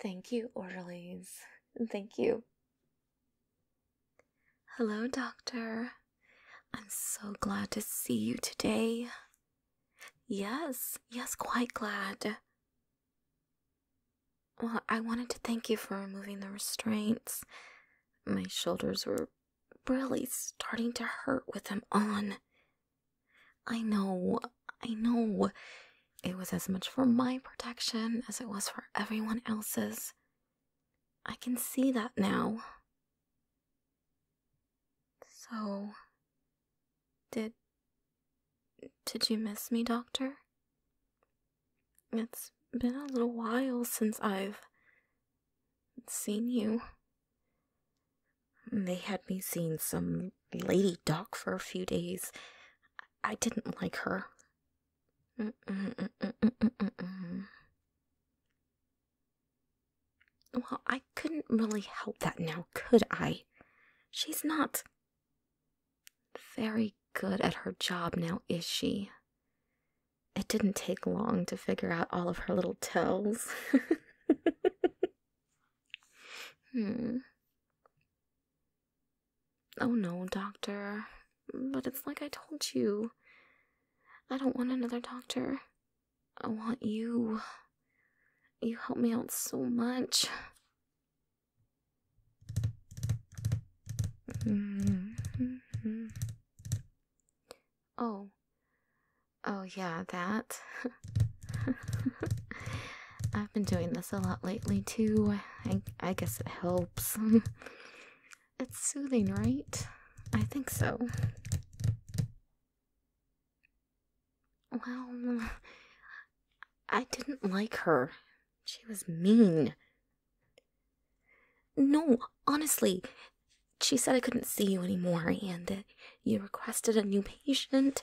Thank you, orderlies. Thank you. Hello, Doctor. I'm so glad to see you today. Yes, yes, quite glad. Well, I wanted to thank you for removing the restraints. My shoulders were really starting to hurt with them on. I know, I know. It was as much for my protection as it was for everyone else's. I can see that now. So, did. Did you miss me, Doctor? It's been a little while since I've seen you. They had me seeing some lady doc for a few days. I didn't like her. well, I couldn't really help that now, could I? She's not very good at her job now, is she? It didn't take long to figure out all of her little tells. Hmm. Oh no, doctor. But it's like I told you. I don't want another doctor. I want you. You help me out so much. Mm-hmm. Oh. Oh, yeah, that. I've been doing this a lot lately too. I, guess it helps. it's soothing, right? I think so. Well, I didn't like her. She was mean. No, honestly, she said I couldn't see you anymore and you requested a new patient.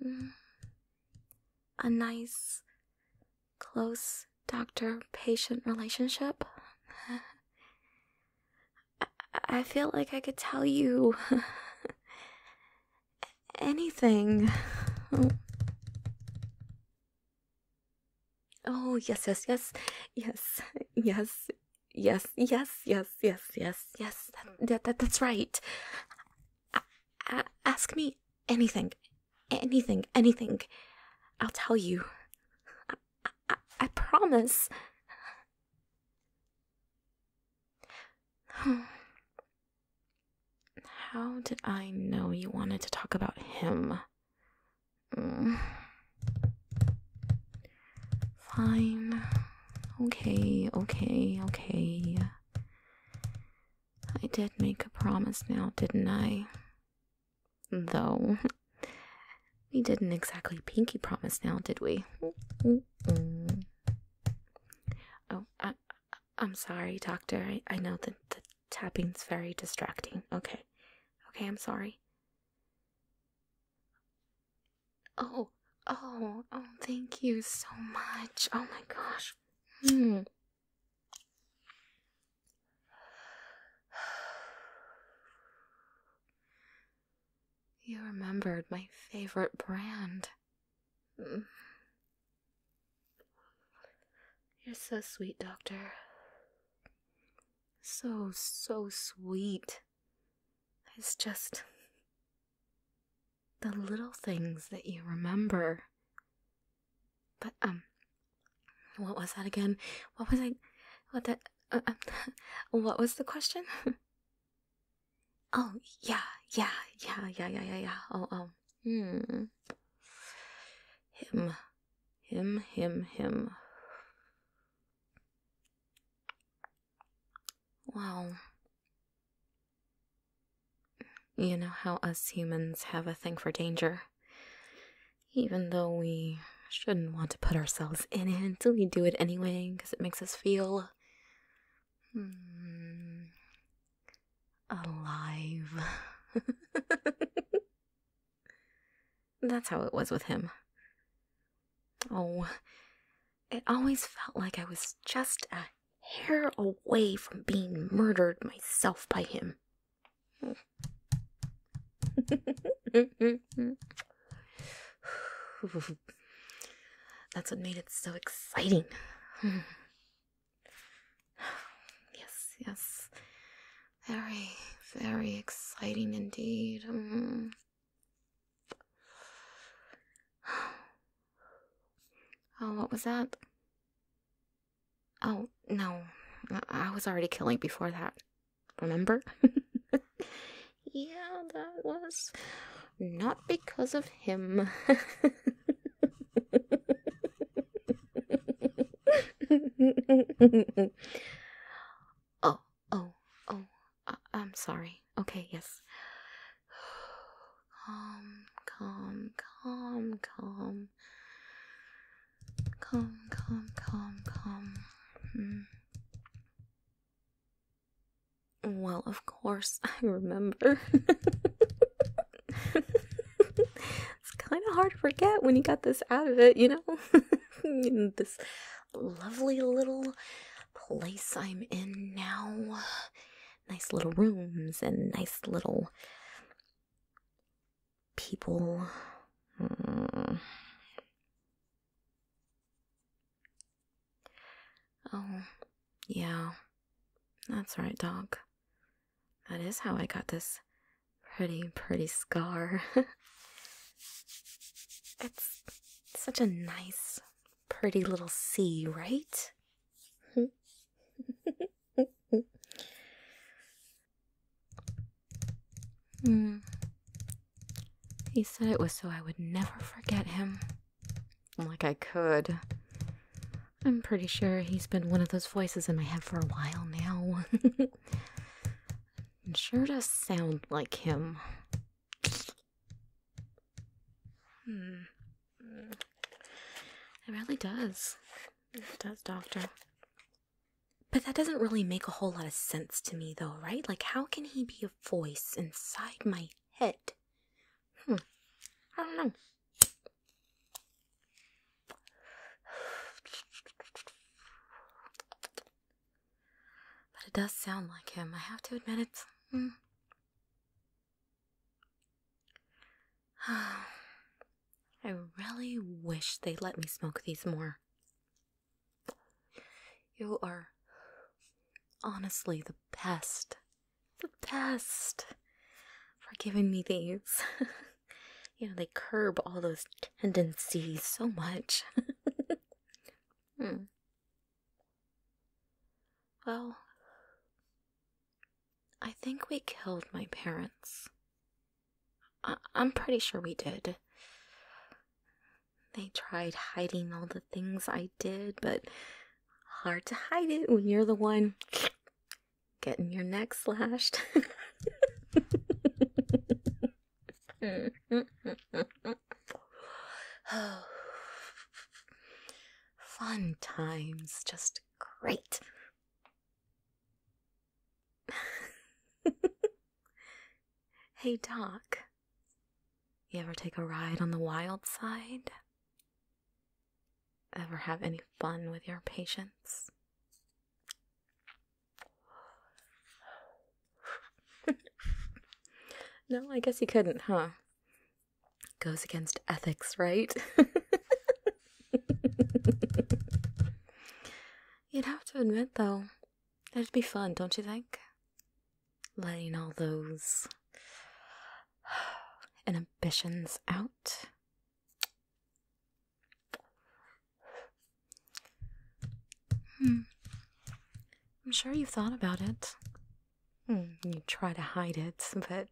a nice, close doctor patient relationship. I, feel like I could tell you anything. Oh, yes, yes, yes, yes, yes, Yes, yes, yes, yes, yes, yes. That, mm. that, that's right. ask me anything, anything, anything. I'll tell you. I, I, promise. How did I know you wanted to talk about him? Mm. Fine. Okay, okay, okay. I did make a promise now, didn't I? Though, we didn't exactly pinky promise now, did we? Oh, I, am sorry, Doctor. I, I know that the tapping's very distracting. Okay. Okay, I'm sorry. Oh, oh, oh, thank you so much. Oh my gosh. Hmm. You remembered my favorite brand. Mm. You're so sweet, Doctor. So, so sweet. It's just the little things that you remember. But, um, what was that again? What was I? What that? Uh, uh, what was the question? oh, yeah, yeah, yeah, yeah, yeah, yeah, yeah. Oh, oh. Hmm. Him. Him, him, him. Well, you know how us humans have a thing for danger. Even though we shouldn't want to put ourselves in it, we do it anyway because it makes us feel hmm, alive. That's how it was with him. Oh, it always felt like I was just a hair away from being murdered myself by him. That's what made it so exciting. yes, yes. Very, very exciting indeed. Mm. Oh, what was that? Oh, no. I was already killing before that. Remember? yeah, that was not because of him. oh, oh, oh, uh, I am sorry. Okay, yes. calm, calm, calm, calm. Calm, calm, calm, calm. Hmm. Well, of course, I remember. it's kind of hard to forget when you got this out of it, you know? in this lovely little place I'm in now. Nice little rooms and nice little people. Hmm. Oh, yeah. That's right, dog. That is how I got this Pretty, pretty scar. it's such a nice, pretty little C, right? Hmm. He said it was so I would never forget him. Like I could. I'm pretty sure he's been one of those voices in my head for a while now. and sure does sound like him. Hmm. It really does. It does, Doctor. But that doesn't really make a whole lot of sense to me, though, right? Like, how can he be a voice inside my head? Hmm. I don't know. But it does sound like him, I have to admit it. Hmm. I really wish they let me smoke these more. You are honestly the best. The best for giving me these. you know, they curb all those tendencies so much. hmm. Well, I think we killed my parents. I'm pretty sure we did. They tried hiding all the things I did, but hard to hide it when you're the one Getting your neck slashed. Fun times, just great. hey, Doc. You ever take a ride on the wild side? Ever have any fun with your patients? no, I guess you couldn't, huh? Goes against ethics, right? You'd have to admit, though, that'd be fun, don't you think? Letting all those inhibitions out. Hmm. I'm sure you've thought about it. Mm, you try to hide it, but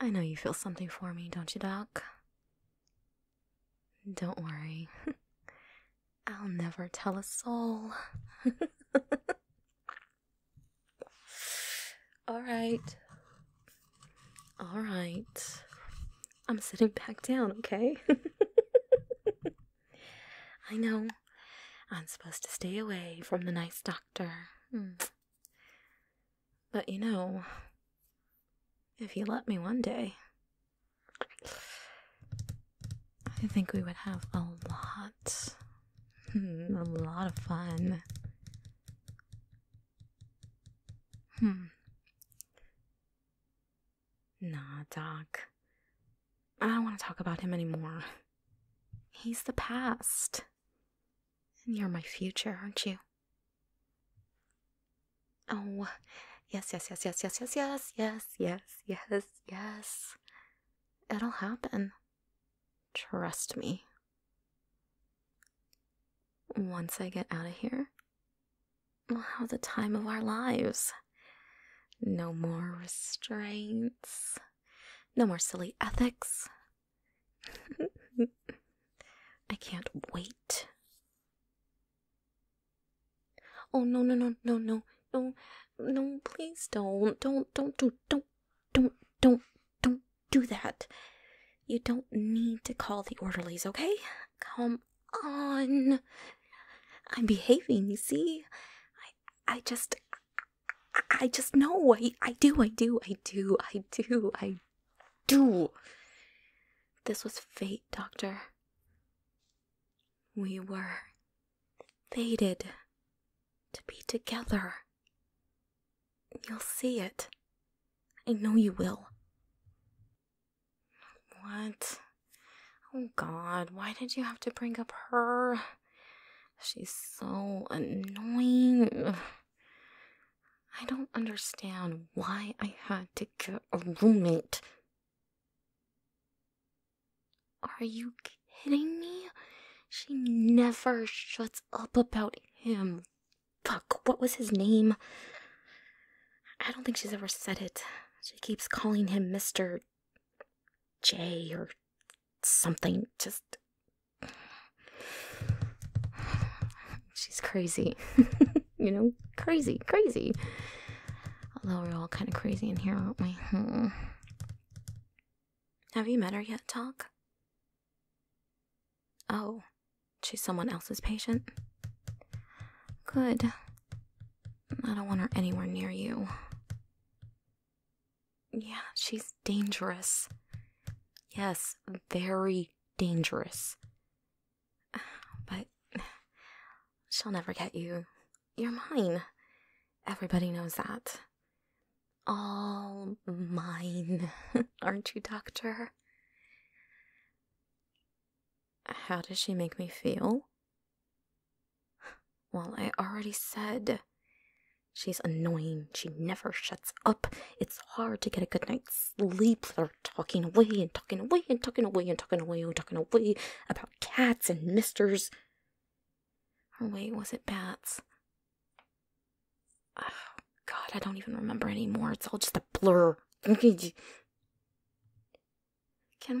I know you feel something for me, don't you, Doc? Don't worry. I'll never tell a soul. All right. All right. I'm sitting back down, okay? I know. I'm supposed to stay away from the nice doctor. Hmm. But you know, if he let me one day, I think we would have a lot, hmm, a lot of fun. Hm. Nah, Doc. I don't want to talk about him anymore. He's the past. And you're my future, aren't you? Oh, yes, yes, yes, yes, yes, yes, yes, yes, yes, yes, yes. It'll happen. Trust me. Once I get out of here, we'll have the time of our lives. No more restraints, no more silly ethics. I can't wait. Oh no no no no no no no please don't don't don't do don't don't don't don't do that. You don't need to call the orderlies, okay? Come on. I'm behaving, you see? I I just I, I just know. I I do, I do, I do, I do, I do. This was fate, Doctor. We were fated to be together. You'll see it. I know you will. What? Oh god, why did you have to bring up her? She's so annoying. I don't understand why I had to get a roommate. Are you kidding me? She never shuts up about him Fuck, what was his name? I don't think she's ever said it. She keeps calling him Mr. J or something. Just. She's crazy. you know, crazy, crazy. Although we're all kind of crazy in here, aren't we? Hmm. Have you met her yet, Talk? Oh, she's someone else's patient? Good. I don't want her anywhere near you. Yeah, she's dangerous. Yes, very dangerous. But she'll never get you. You're mine. Everybody knows that all mine, aren't you, Doctor? How does she make me feel? Well, I already said she's annoying. She never shuts up. It's hard to get a good night's sleep with her talking away and talking away and talking away and talking away and talking away about cats and misters. Or wait, was it bats? God, I don't even remember anymore. It's all just a blur. Can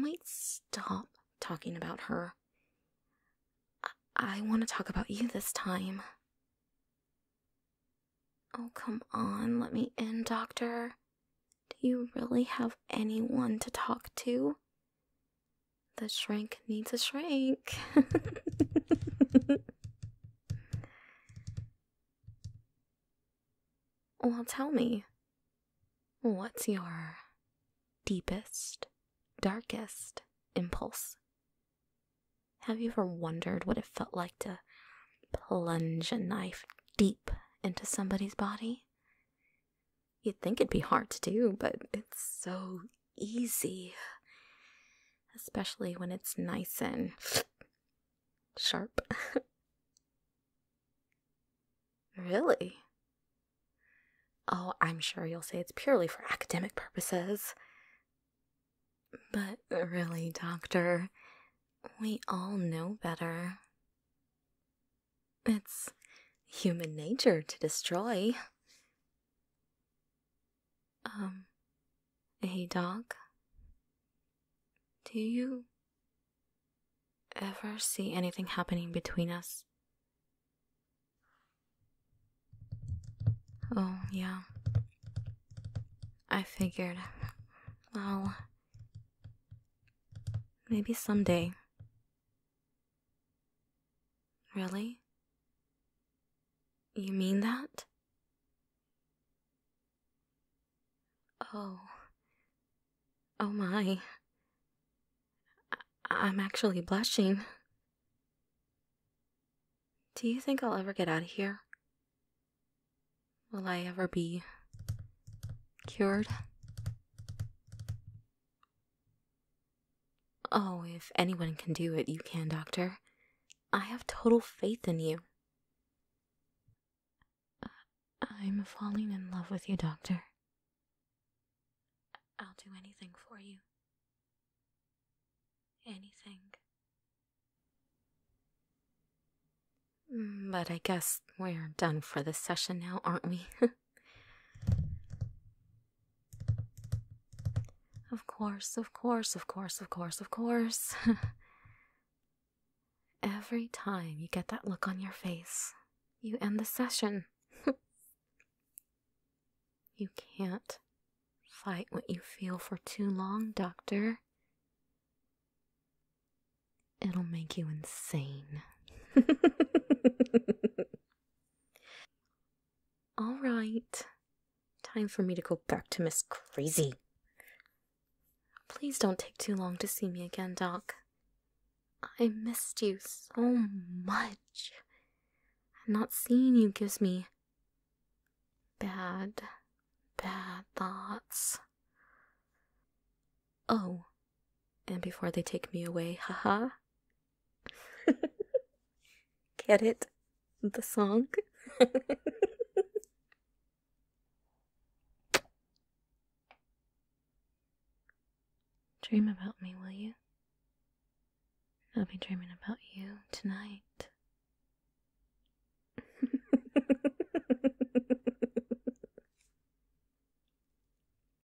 we stop talking about her? I want to talk about you this time. Oh, come on, let me in, Doctor. Do you really have anyone to talk to? The shrink needs a shrink. well, tell me, what's your deepest, darkest impulse? Have you ever wondered what it felt like to plunge a knife deep into somebody's body? You'd think it'd be hard to do, but it's so easy, especially when it's nice and sharp. really? Oh, I'm sure you'll say it's purely for academic purposes. But really, Doctor, we all know better. It's human nature to destroy. Um, hey dog, do you ever see anything happening between us? Oh, yeah. I figured, well, maybe someday. Really? You mean that? Oh. Oh my. I- am actually blushing. Do you think I'll ever get out of here? Will I ever be cured? Oh, if anyone can do it, you can, Doctor. I have total faith in you. I'm falling in love with you, Doctor. I'll do anything for you. Anything. Mm, but I guess we're done for this session now, aren't we? Of course, of course, of course, of course, of course. Every time you get that look on your face, you end the session. you can't fight what you feel for too long, Doctor. It'll make you insane. All right. Time for me to go back to Miss Crazy. Please don't take too long to see me again, Doc. I missed you so much. And not seeing you gives me bad, bad thoughts. Oh, and before they take me away, ha ha. Get it? The song? Dream about me, will you? I'll be dreaming about you tonight.